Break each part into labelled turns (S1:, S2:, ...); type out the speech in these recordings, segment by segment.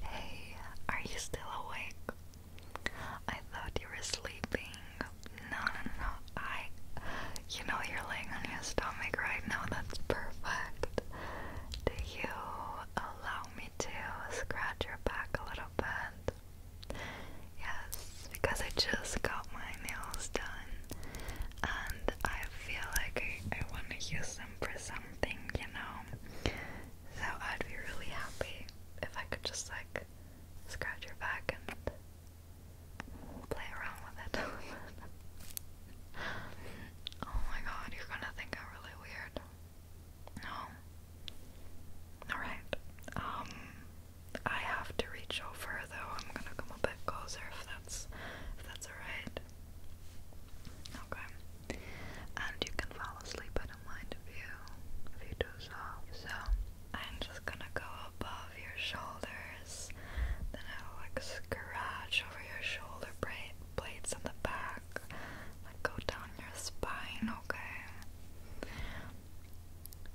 S1: hey, are you still awake? I thought you were sleeping. No, no, no, I. You know you're laying on your stomach right now, that's perfect. Do you allow me to scratch your back a little bit? Yes, because I just got my nails done and I feel like I, want to use them for something, you know? So I'd be really happy if I could just like scratch your back and play around with it. oh my god, you're gonna think I'm really weird. No. Alright. Um I have to reach over though. I'm gonna come a bit closer if that's if that's alright. Okay. And you can fall asleep at a mind if you if you do so. So I'm just gonna go above your shoulders, then I'll like scratch over your shoulder plates in the back, like go down your spine, okay?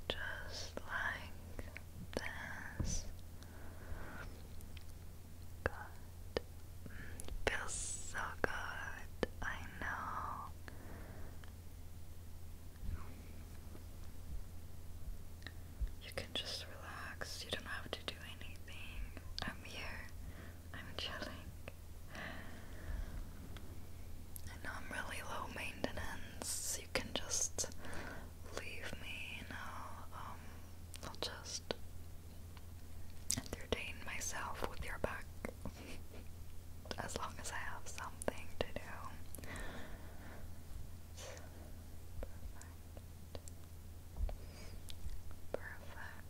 S1: just like this. Good. Feels so good. I know. You can just relax. You don't have to do anything. I'm here. I'm chilling. I know I'm really low maintenance. You can just leave me and um, I'll, just entertain myself with your back as long as I have something to do. Perfect.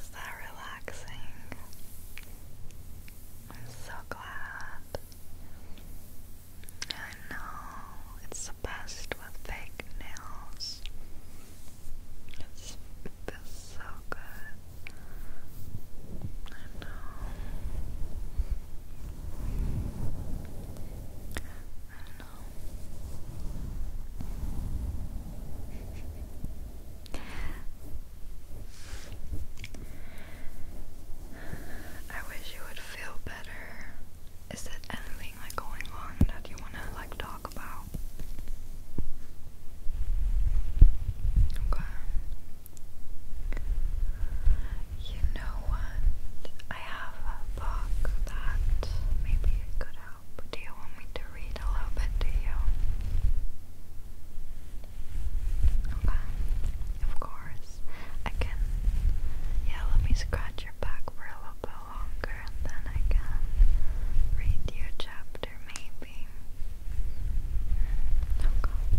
S1: Is that relaxing? I'm so glad I know, it's the best with fake nails. It's feels so good. I know. I know. I wish you would feel better. Is there anything like going on that you wanna like talk about? Okay. You know what? I have a book that maybe it could help. Do you want me to read a little bit to you? Okay, of course. I can. Yeah, let me scratch your back for a little bit longer and then I can read you a chapter maybe. Okay.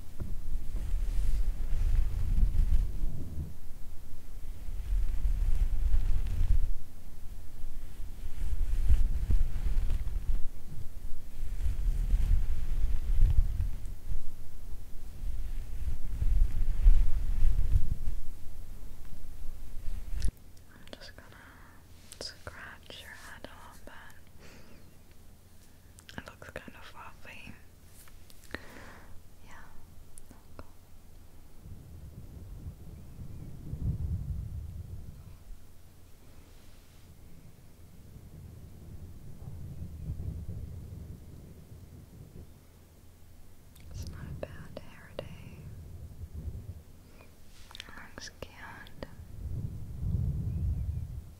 S1: I'm just gonna scratch your head a little bit. It looks kind of fluffy. Yeah. It's not a bad hair day. Looks cute.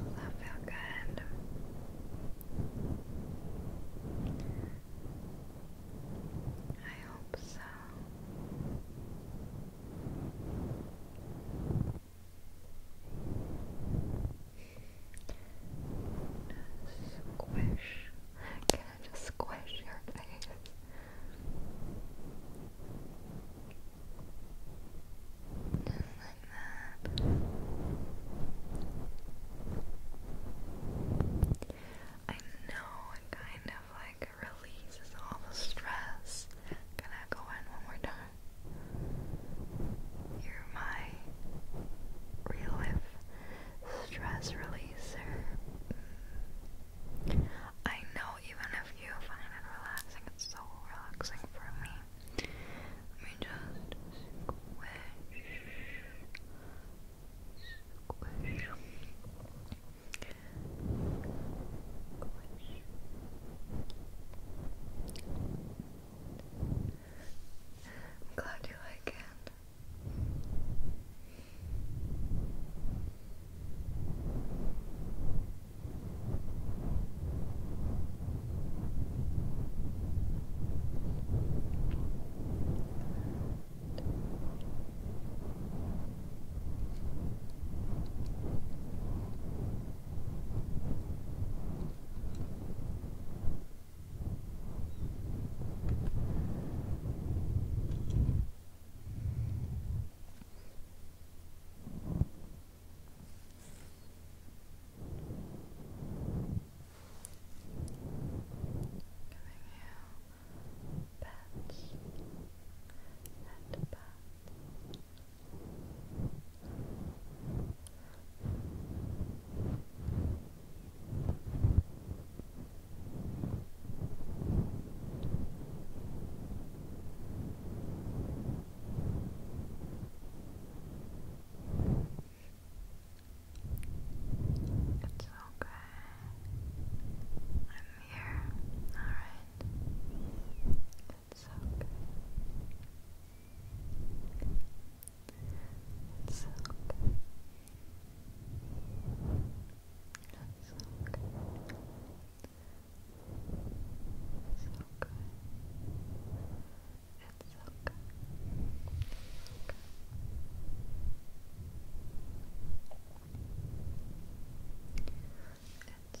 S1: Does that feel good? I hope so. Squish. Can I just squish your face? like that. I know it kind of like releases all the stress. Can I go in one more time? You're my real stress releaser. I know even if you find it relaxing, it's so relaxing for me. Let me just Squish. Squish. I'm glad you like it. Giving you pets and pats it's okay. I'm here. Alright. It's okay. It's okay. It's okay. It's okay. It's okay. It's It's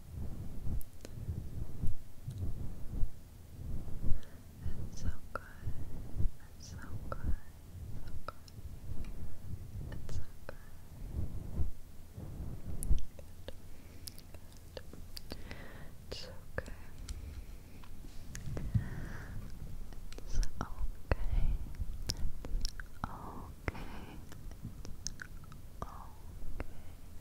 S1: It's so good. It's so good. So good. It's so good. Good. Good. It's okay. It's okay. It's okay. It's okay. Okay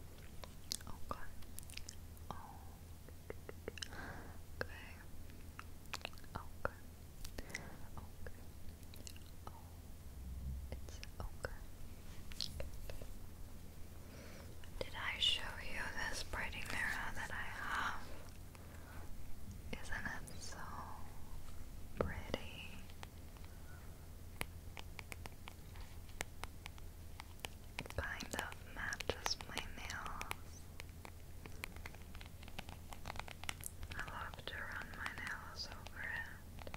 S1: Okay. Okay. Okay. Okay. okay. Did I show you this pretty mirror that I have? Isn't it so pretty? Kind of matches my nails. I love to run my nails over it.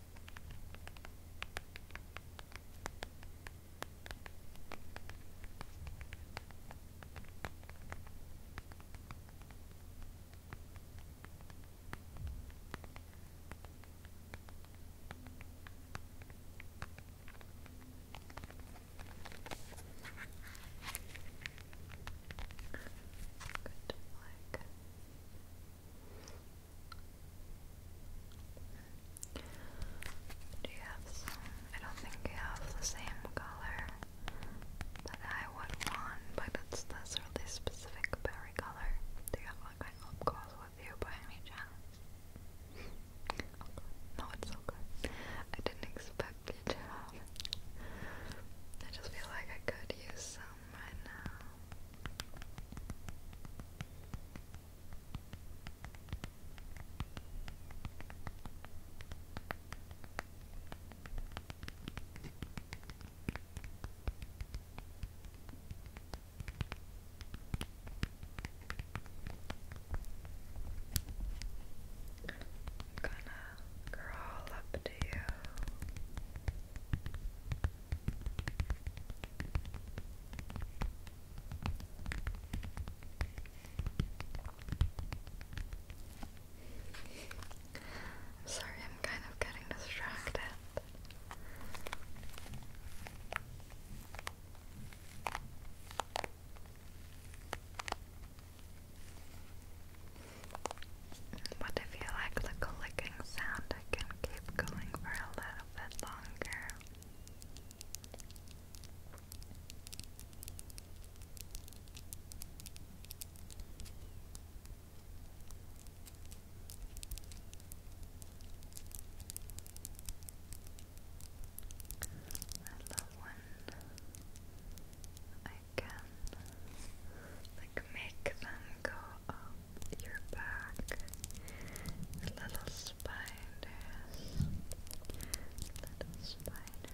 S1: Good black. Do I don't think you have the same color that I would want, but it's this specific berry color. Do you have like my lip with you by any chance? No, it's okay. I didn't expect you to have it. I just feel like I could use some home I'm gonna crawl up to you. I'm sorry, I'm kind of getting distracted. But if you like the clicking sound, I can keep going for a little bit longer. I love when I can like make them go your back, little spiders, little spiders.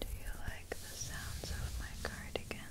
S1: Do you like the sounds of my cardigan?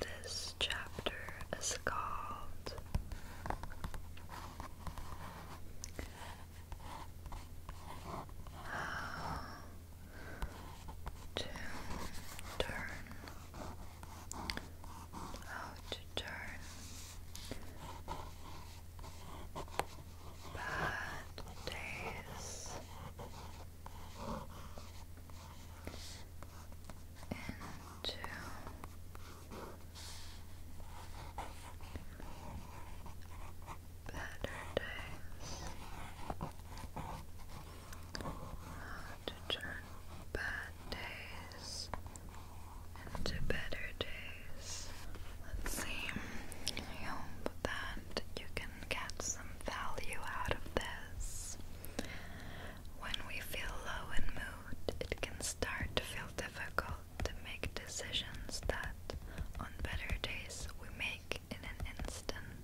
S1: This chapter is called to turn, how turn bad days into better days to turn bad days into better days. Let's see. I hope that you can get some value out of this. When we feel low in mood, it can start to feel difficult to make decisions that on better days we make in an instant.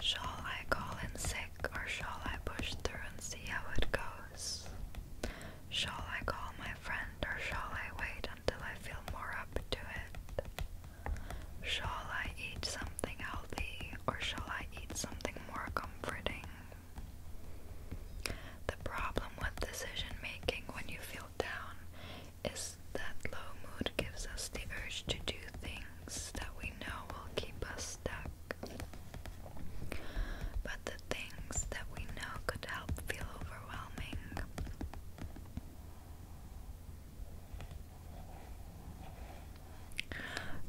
S1: Shall I call in sick or shall I push through and see how it goes? Shall I call my friend or shall I wait until I feel more up to it? Shall I eat something healthy or shall I eat something more comforting? The problem with decision making when you feel down is that low mood gives us the urge to do things that we know will keep us stuck. But the things that we know could help feel overwhelming.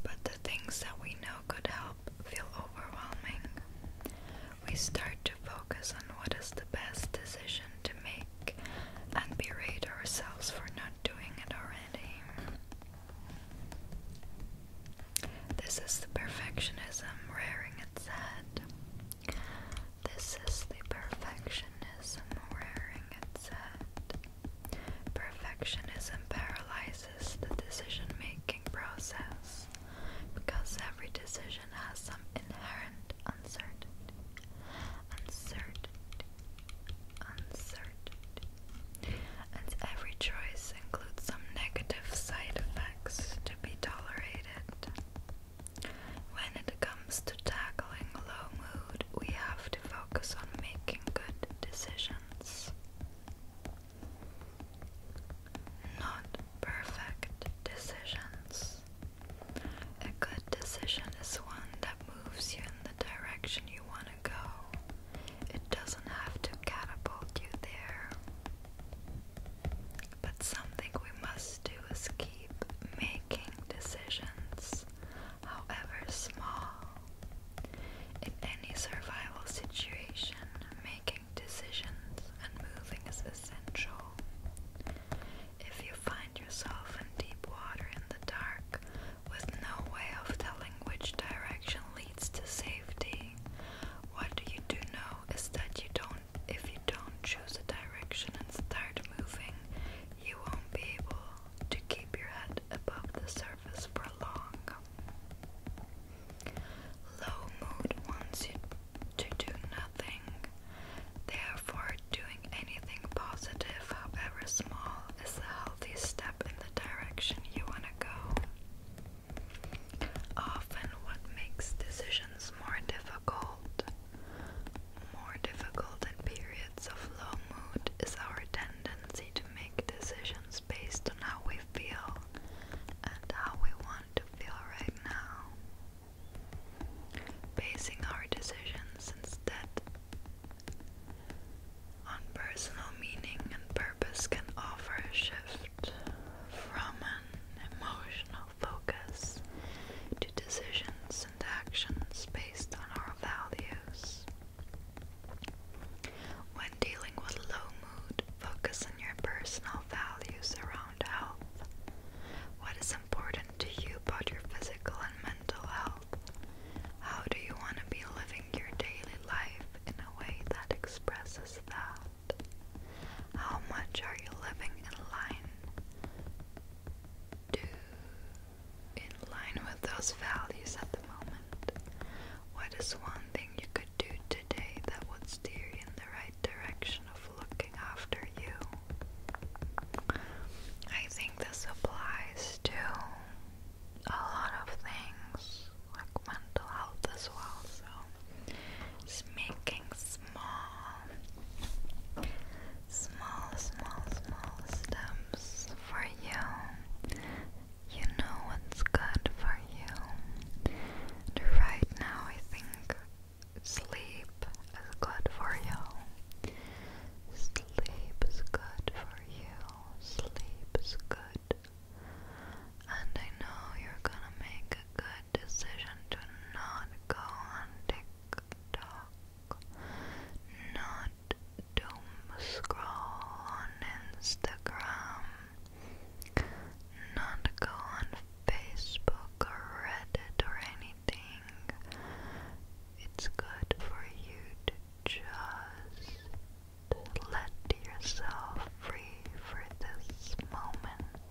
S1: But the things that we know could help feel overwhelming. We start to focus on what is the best decision to make and berate ourselves for not doing it already. This is the perfectionism raring its head. This is the perfectionism raring its head. Perfectionism paralyzes the decision making process because every decision has some inherent uncertainty uncertainty, uncertainty, and every choice includes some negative side effects to be tolerated. When it comes to tackling low mood, we have to focus on making good decisions. Not perfect decisions. A good decision is one that moves you in the direction you want to go. It doesn't have to catapult you there. But something we must do is keep making decisions, however small. In any survival situation, making decisions and moving is essential. If you find yourself in deep water in the dark with no way of telling which direction leads to safety. What you do know is that you don't if you don't choose a direction and start moving, you won't be able to keep your head above the surface for long. Low mood wants you to do nothing, Therefore, doing anything positive, however small, is a healthy step in the direction you want to go. Often, what makes decisions more difficult, more difficult in periods of low mood, is our tendency to make decisions based on how we feel and how we want to feel right now basing our decisions instead on personal meaning and purpose can offer a shift from an emotional focus to decisions and actions based on our values. When dealing with low mood, focus on your personal values around health. What is important to you about your physical and mental health? How do you want to be living your daily life in a way that expresses that? How much are you living in line to in line with those values at the moment? What is one thing you could do today that would steer you in the right direction of looking after you. I think this applies to a lot of things, like mental health as well. So, just making small, small, small, small steps for you. You know what's good for you. right now, I think Sleep is good for you. Sleep is good for you. Sleep is good. And I know you're gonna make a good decision to not go on TikTok, not doom scroll on Instagram, not go on Facebook credit or anything. It's good for you to just let yourself free for this moment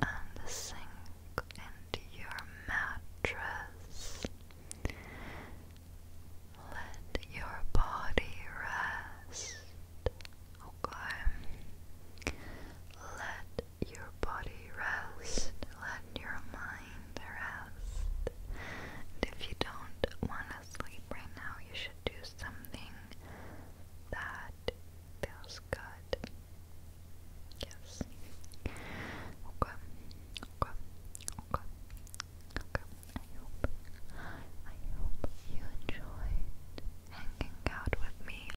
S1: and sink into your mattress. Let your body rest. Okay. Let your body rest, let your mind rest. And if you don't want to sleep right now, you should do something that feels good. Yes. Okay. Okay. Okay. Okay. I hope I hope you enjoyed hanging out with me